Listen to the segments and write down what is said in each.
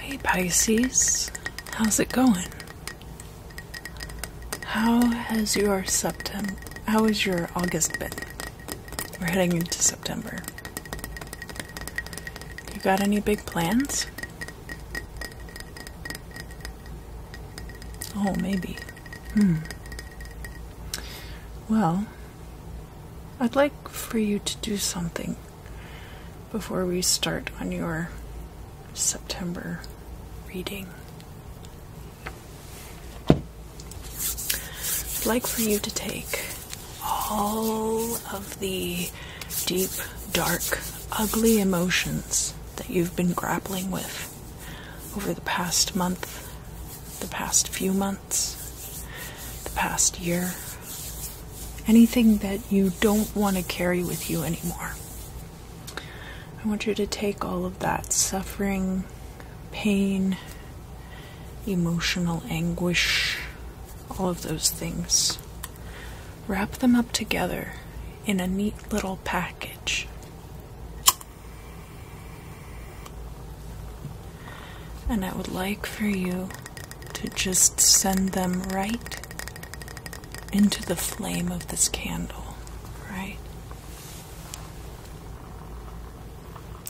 Hey Pisces, how's it going? How has your September, how has your August been? We're heading into September. You got any big plans? Oh, maybe. Hmm. Well, I'd like for you to do something before we start on your September reading. I'd like for you to take all of the deep, dark, ugly emotions that you've been grappling with over the past month the past few months, the past year, anything that you don't want to carry with you anymore. I want you to take all of that suffering, pain, emotional anguish, all of those things, wrap them up together in a neat little package. And I would like for you to just send them right into the flame of this candle, right?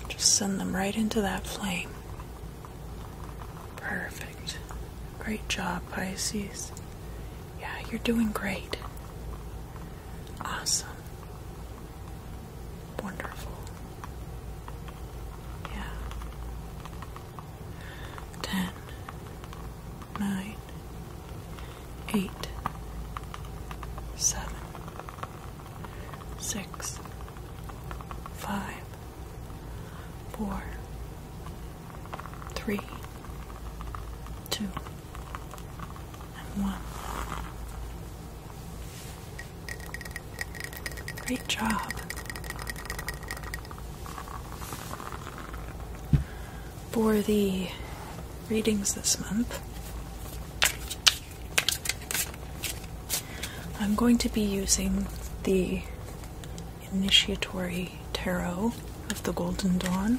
Just send them right into that flame. Perfect. Great job, Pisces. Yeah, you're doing great. Awesome wonderful. Yeah. Ten, nine, eight, seven, six, five, four, three, two, and one. Great job. For the readings this month, I'm going to be using the Initiatory Tarot of the Golden Dawn.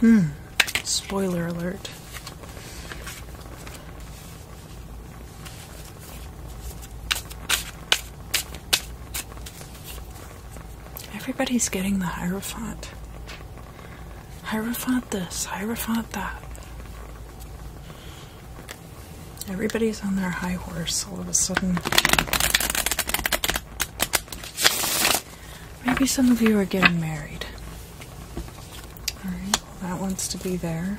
Hmm. Spoiler alert. Everybody's getting the Hierophant. Hierophant this, Hierophant that. Everybody's on their high horse all of a sudden. Maybe some of you are getting married. Alright, well, that wants to be there.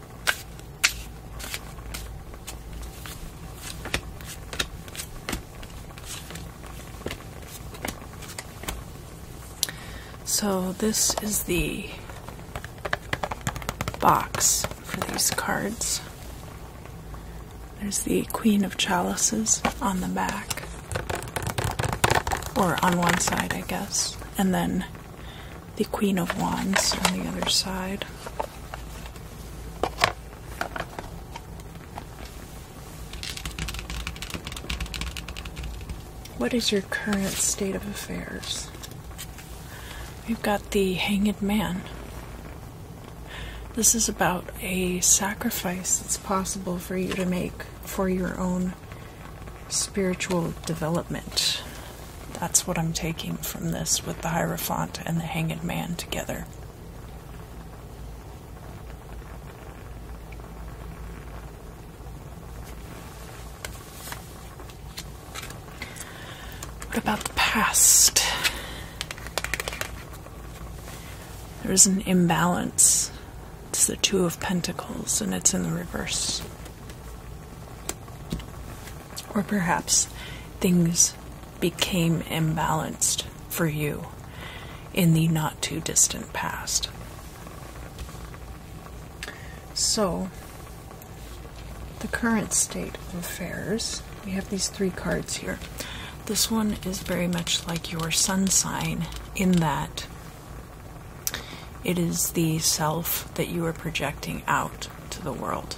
So, this is the box for these cards. There's the Queen of Chalices on the back, or on one side, I guess, and then the Queen of Wands on the other side. What is your current state of affairs? We've got the Hanging Man. This is about a sacrifice that's possible for you to make for your own spiritual development. That's what I'm taking from this with the Hierophant and the hanging Man together. What about the past? There is an imbalance. It's the Two of Pentacles, and it's in the reverse. Or perhaps things became imbalanced for you in the not too distant past. So, the current state of affairs we have these three cards here. This one is very much like your sun sign in that it is the self that you are projecting out to the world.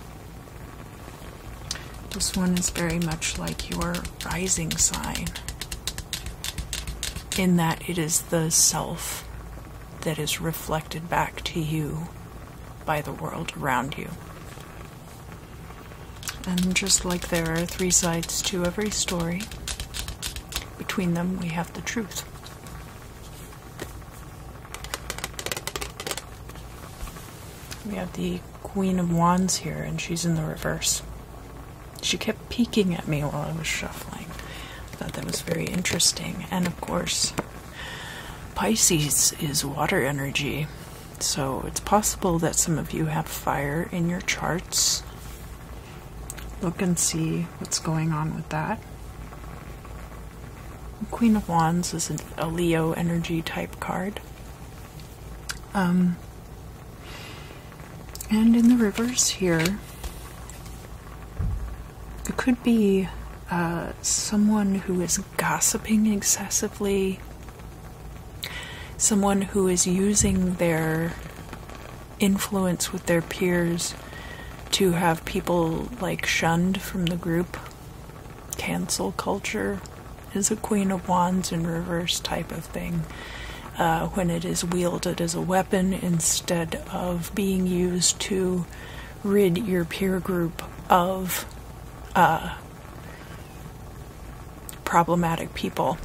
This one is very much like your rising sign, in that it is the self that is reflected back to you by the world around you. And just like there are three sides to every story, between them we have the truth. We have the Queen of Wands here, and she's in the reverse. She kept peeking at me while I was shuffling. I thought that was very interesting. And of course, Pisces is water energy, so it's possible that some of you have fire in your charts look and see what's going on with that. Queen of Wands is a Leo energy type card. Um, and in the rivers here, it could be uh, someone who is gossiping excessively, someone who is using their influence with their peers to have people like shunned from the group. Cancel culture is a Queen of Wands in reverse type of thing. Uh, when it is wielded as a weapon instead of being used to rid your peer group of uh, problematic people.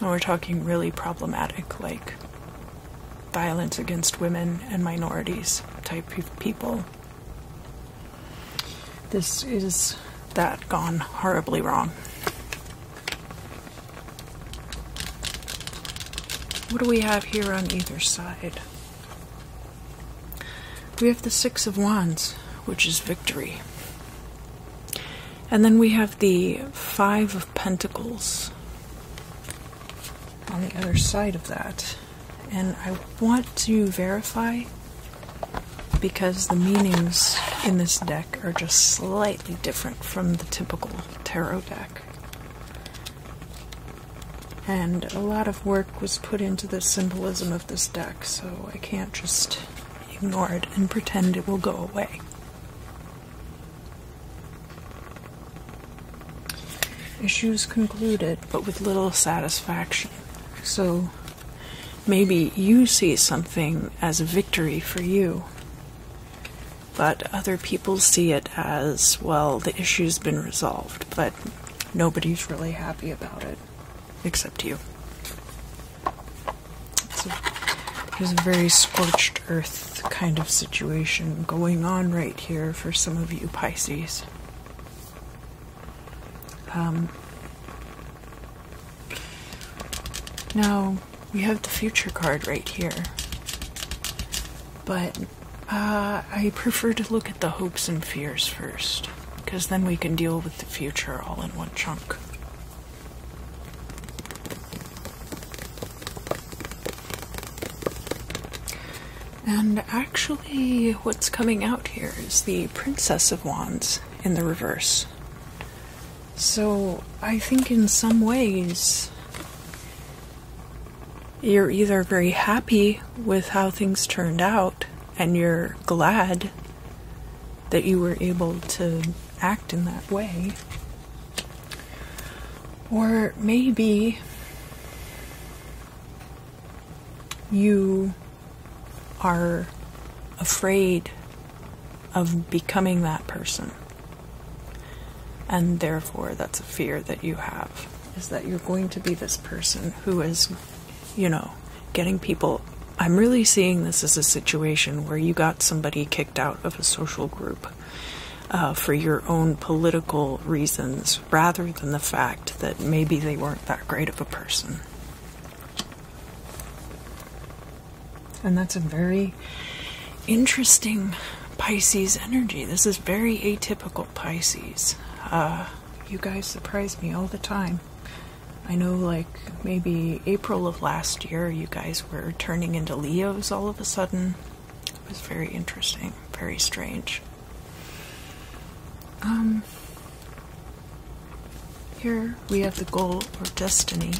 And we're talking really problematic, like violence against women and minorities type of people. This is that gone horribly wrong. What do we have here on either side? We have the Six of Wands, which is victory. And then we have the Five Pentacles on the other side of that. And I want to verify because the meanings in this deck are just slightly different from the typical tarot deck. And a lot of work was put into the symbolism of this deck, so I can't just ignore it and pretend it will go away. Issues concluded, but with little satisfaction. So maybe you see something as a victory for you, but other people see it as, well, the issue's been resolved, but nobody's really happy about it except you. So there's a very scorched earth kind of situation going on right here for some of you Pisces. Um, now, we have the future card right here. But uh, I prefer to look at the hopes and fears first, because then we can deal with the future all in one chunk. And actually, what's coming out here is the Princess of Wands in the reverse. So I think in some ways you're either very happy with how things turned out and you're glad that you were able to act in that way, or maybe you are afraid of becoming that person. And therefore, that's a fear that you have is that you're going to be this person who is, you know, getting people. I'm really seeing this as a situation where you got somebody kicked out of a social group uh, for your own political reasons rather than the fact that maybe they weren't that great of a person. And that's a very interesting Pisces energy. This is very atypical Pisces. Uh, you guys surprise me all the time. I know, like, maybe April of last year, you guys were turning into Leos all of a sudden. It was very interesting, very strange. Um, here we have the goal or destiny,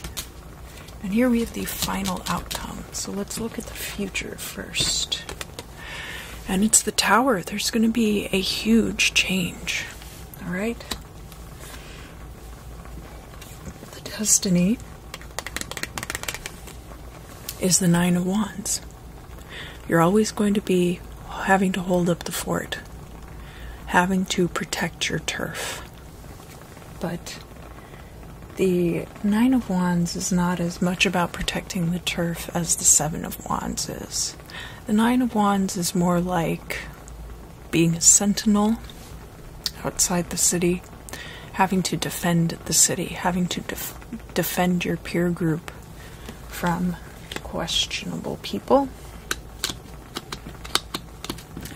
and here we have the final outcome. So let's look at the future first. And it's the tower. There's going to be a huge change. All right? The destiny is the Nine of Wands. You're always going to be having to hold up the fort, having to protect your turf. But the Nine of Wands is not as much about protecting the turf as the Seven of Wands is. The Nine of Wands is more like being a sentinel outside the city, having to defend the city, having to defend your peer group from questionable people.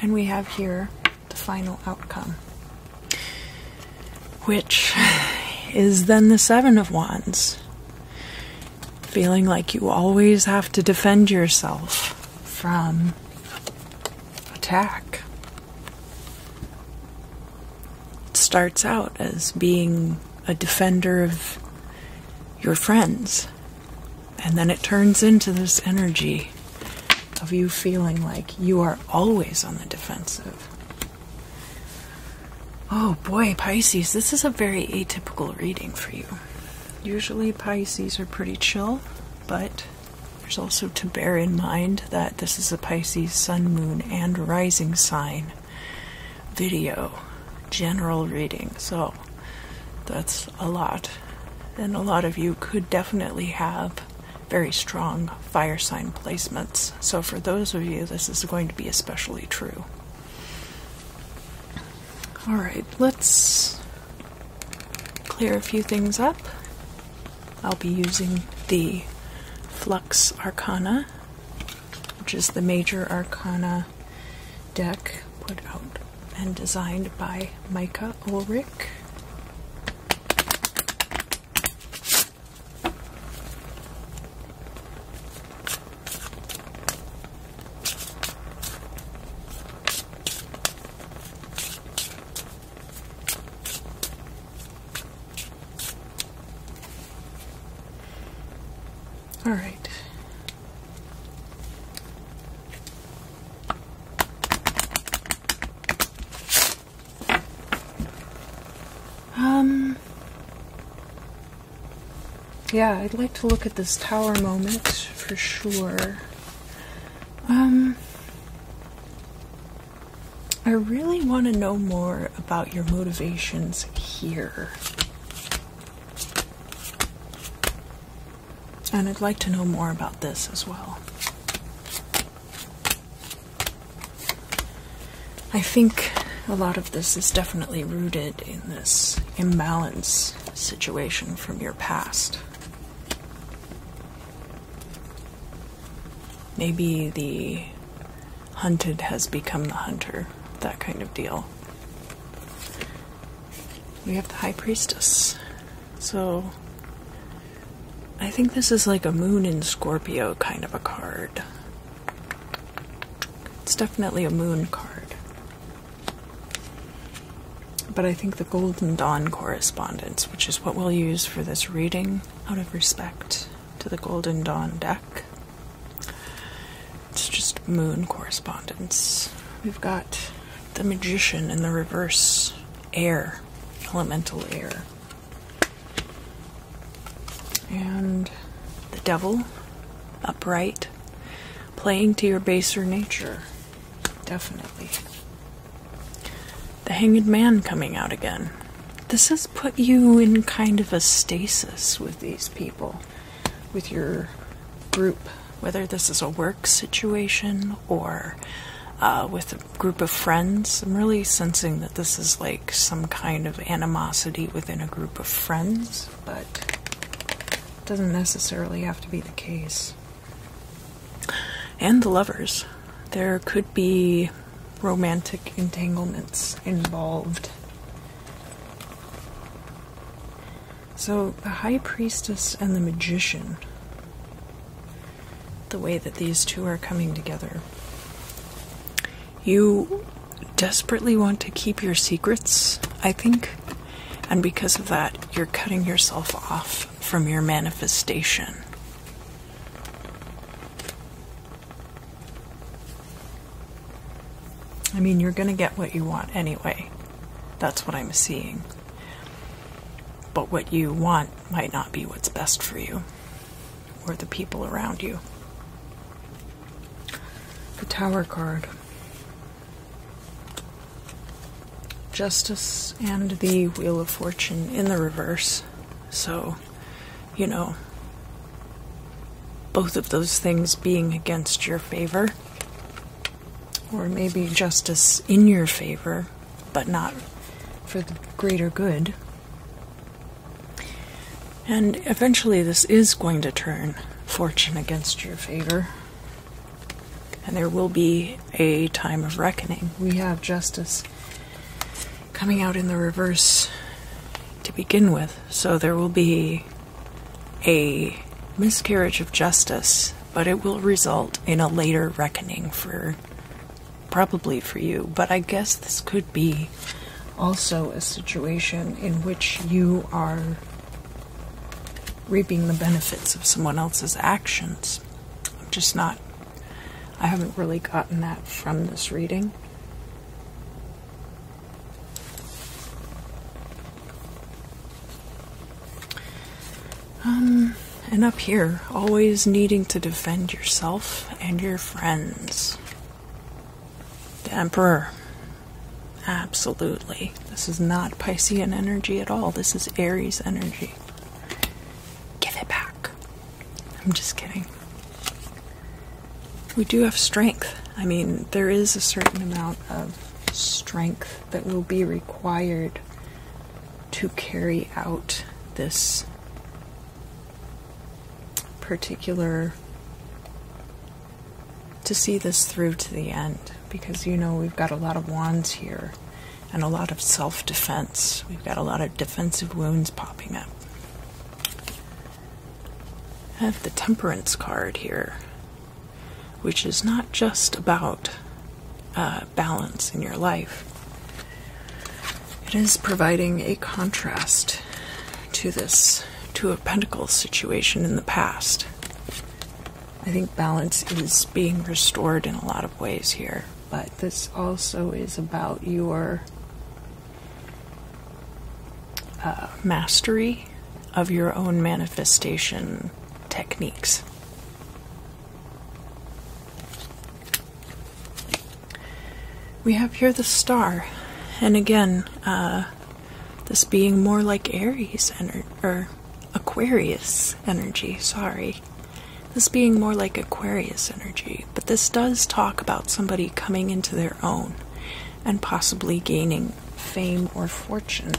And we have here the final outcome, which is then the Seven of Wands. Feeling like you always have to defend yourself from attack. It starts out as being a defender of your friends, and then it turns into this energy of you feeling like you are always on the defensive. Oh boy, Pisces, this is a very atypical reading for you. Usually, Pisces are pretty chill but there's also to bear in mind that this is a Pisces sun, moon, and rising sign video general reading, so that's a lot. And a lot of you could definitely have very strong fire sign placements. So, for those of you, this is going to be especially true. All right, let's clear a few things up. I'll be using the Flux Arcana, which is the major arcana deck put out and designed by Micah Ulrich. All right. Um, yeah, I'd like to look at this tower moment for sure. Um, I really want to know more about your motivations here. And I'd like to know more about this as well. I think a lot of this is definitely rooted in this imbalance situation from your past. Maybe the hunted has become the hunter, that kind of deal. We have the High Priestess. So, I think this is like a moon in Scorpio kind of a card. It's definitely a moon card. But I think the Golden Dawn correspondence, which is what we'll use for this reading out of respect to the Golden Dawn deck, it's just moon correspondence. We've got the Magician in the reverse air, elemental air, and the Devil upright, playing to your baser nature. Definitely. The Hanged Man coming out again. This has put you in kind of a stasis with these people, with your group, whether this is a work situation or uh, with a group of friends. I'm really sensing that this is like some kind of animosity within a group of friends, but doesn't necessarily have to be the case. And the lovers. There could be romantic entanglements involved. So, the High Priestess and the Magician, the way that these two are coming together. You desperately want to keep your secrets, I think. And because of that, you're cutting yourself off from your manifestation. I mean, you're going to get what you want anyway. That's what I'm seeing. But what you want might not be what's best for you or the people around you. The Tower card. Justice and the Wheel of Fortune in the reverse. So, you know, both of those things being against your favor, or maybe justice in your favor, but not for the greater good. And eventually, this is going to turn fortune against your favor, and there will be a time of reckoning. We have justice coming out in the reverse to begin with. So there will be a miscarriage of justice, but it will result in a later reckoning for probably for you. But I guess this could be also a situation in which you are reaping the benefits of someone else's actions. I'm just not, I haven't really gotten that from this reading. Um, and up here, always needing to defend yourself and your friends. The Emperor. Absolutely. This is not Piscean energy at all. This is Aries energy. Give it back. I'm just kidding. We do have strength. I mean, there is a certain amount of strength that will be required to carry out this particular to see this through to the end because you know we've got a lot of wands here and a lot of self defense. We've got a lot of defensive wounds popping up. I have the Temperance card here, which is not just about uh, balance in your life, it is providing a contrast to this, to a Pentacle situation in the past. I think balance is being restored in a lot of ways here, but this also is about your uh, mastery of your own manifestation techniques. We have here the star, and again, uh, this being more like Aries energy or Aquarius energy, sorry. This being more like Aquarius energy, but this does talk about somebody coming into their own and possibly gaining fame or fortune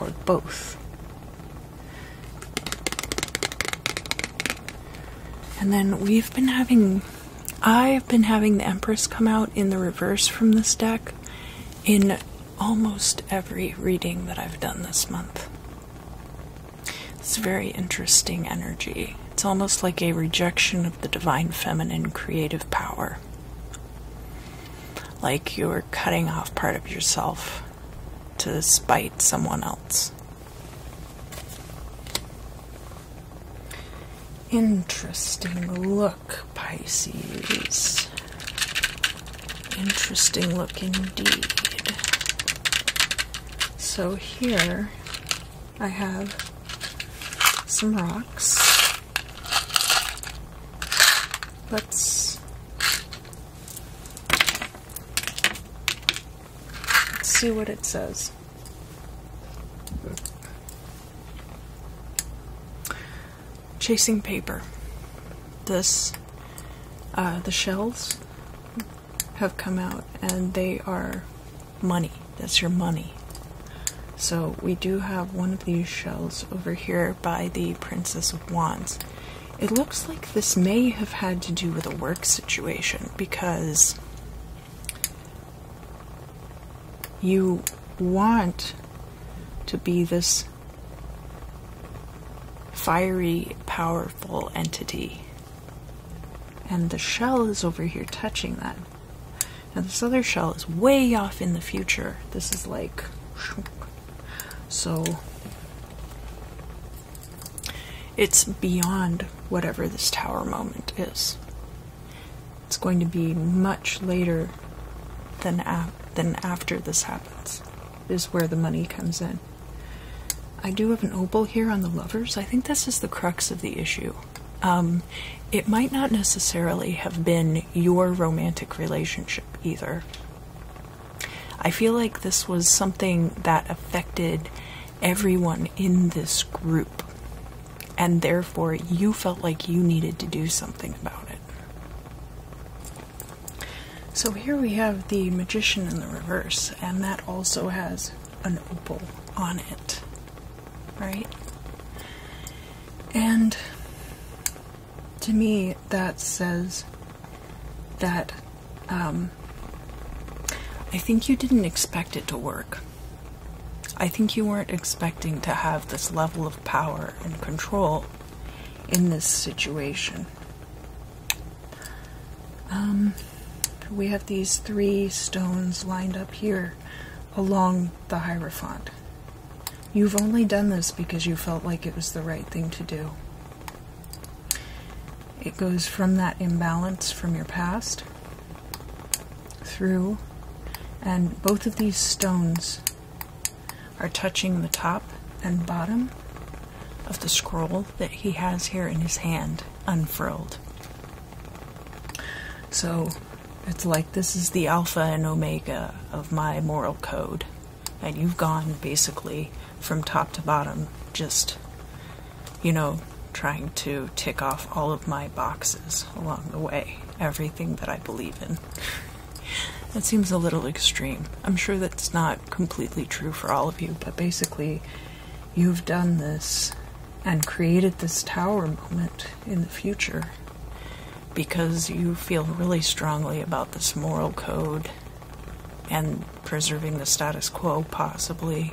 or both. And then we've been having, I been having the Empress come out in the reverse from this deck in almost every reading that I've done this month. It's very interesting energy. It's almost like a rejection of the divine feminine creative power. Like you're cutting off part of yourself to spite someone else. Interesting look, Pisces. Interesting look indeed. So here I have some rocks. Let's see what it says. Chasing paper. This, uh, the shells have come out and they are money. That's your money. So we do have one of these shells over here by the Princess of Wands. It looks like this may have had to do with a work situation because you want to be this fiery, powerful entity. And the shell is over here touching that. Now, this other shell is way off in the future. This is like. So. It's beyond whatever this tower moment is. It's going to be much later than, after this happens, is where the money comes in. I do have an opal here on the lovers. I think this is the crux of the issue. Um, it might not necessarily have been your romantic relationship either. I feel like this was something that affected everyone in this group and therefore you felt like you needed to do something about it. So here we have the magician in the reverse, and that also has an opal on it, right? And to me, that says that um, I think you didn't expect it to work. I think you weren't expecting to have this level of power and control in this situation. Um, we have these three stones lined up here along the Hierophant. You've only done this because you felt like it was the right thing to do. It goes from that imbalance from your past through, and both of these stones are touching the top and bottom of the scroll that he has here in his hand, unfurled. So it's like this is the alpha and omega of my moral code. And you've gone basically from top to bottom, just, you know, trying to tick off all of my boxes along the way everything that I believe in. That seems a little extreme. I'm sure that's not completely true for all of you, but basically, you've done this and created this tower moment in the future because you feel really strongly about this moral code and preserving the status quo, possibly,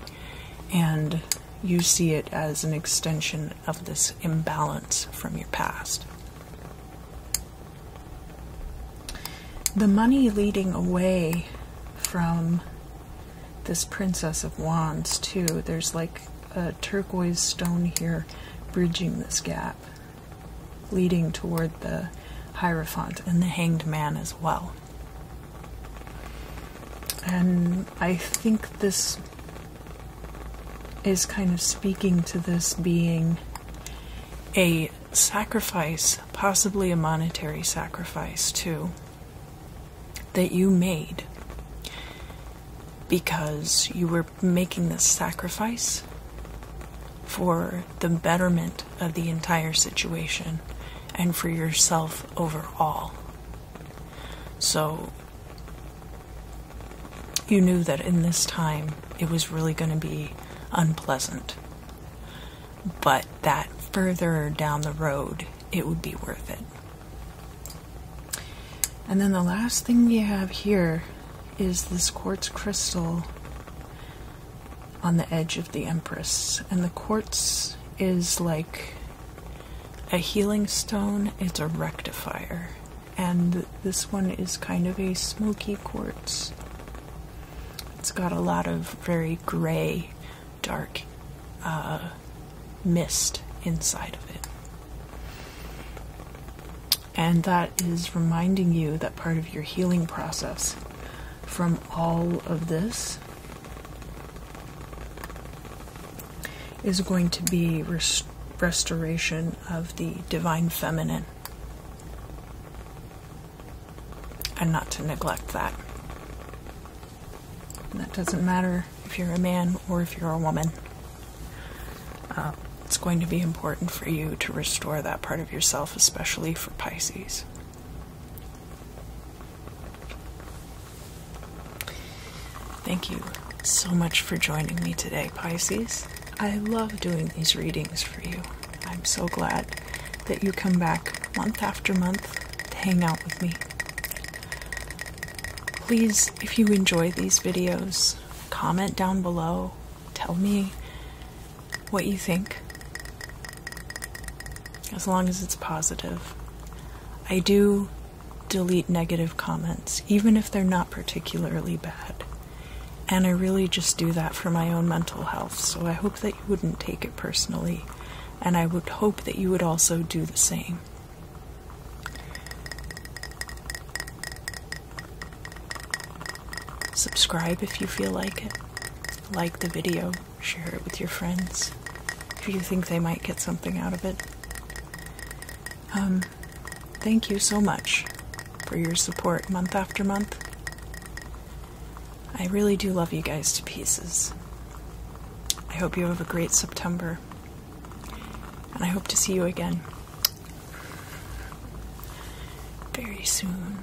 and you see it as an extension of this imbalance from your past. The money leading away from this Princess of Wands, too, there's like a turquoise stone here bridging this gap, leading toward the Hierophant and the Hanged Man as well. And I think this is kind of speaking to this being a sacrifice, possibly a monetary sacrifice too, that you made because you were making this sacrifice for the betterment of the entire situation and for yourself overall. So you knew that in this time it was really going to be unpleasant, but that further down the road it would be worth it. And then the last thing we have here is this quartz crystal on the edge of the Empress, and the quartz is like a healing stone, it's a rectifier, and this one is kind of a smoky quartz. It's got a lot of very gray, dark uh, mist inside of it. And that is reminding you that part of your healing process from all of this is going to be restoration of the divine feminine. And not to neglect that. And that doesn't matter if you're a man or if you're a woman. Uh, it's going to be important for you to restore that part of yourself, especially for Pisces. Thank you so much for joining me today, Pisces. I love doing these readings for you. I'm so glad that you come back month after month to hang out with me. Please, if you enjoy these videos, comment down below. Tell me what you think, as long as it's positive. I do delete negative comments, even if they're not particularly bad. And I really just do that for my own mental health, so I hope that you wouldn't take it personally, and I would hope that you would also do the same. Subscribe if you feel like it. Like the video, share it with your friends if you think they might get something out of it. Um, thank you so much for your support month after month. I really do love you guys to pieces. I hope you have a great September, and I hope to see you again very soon.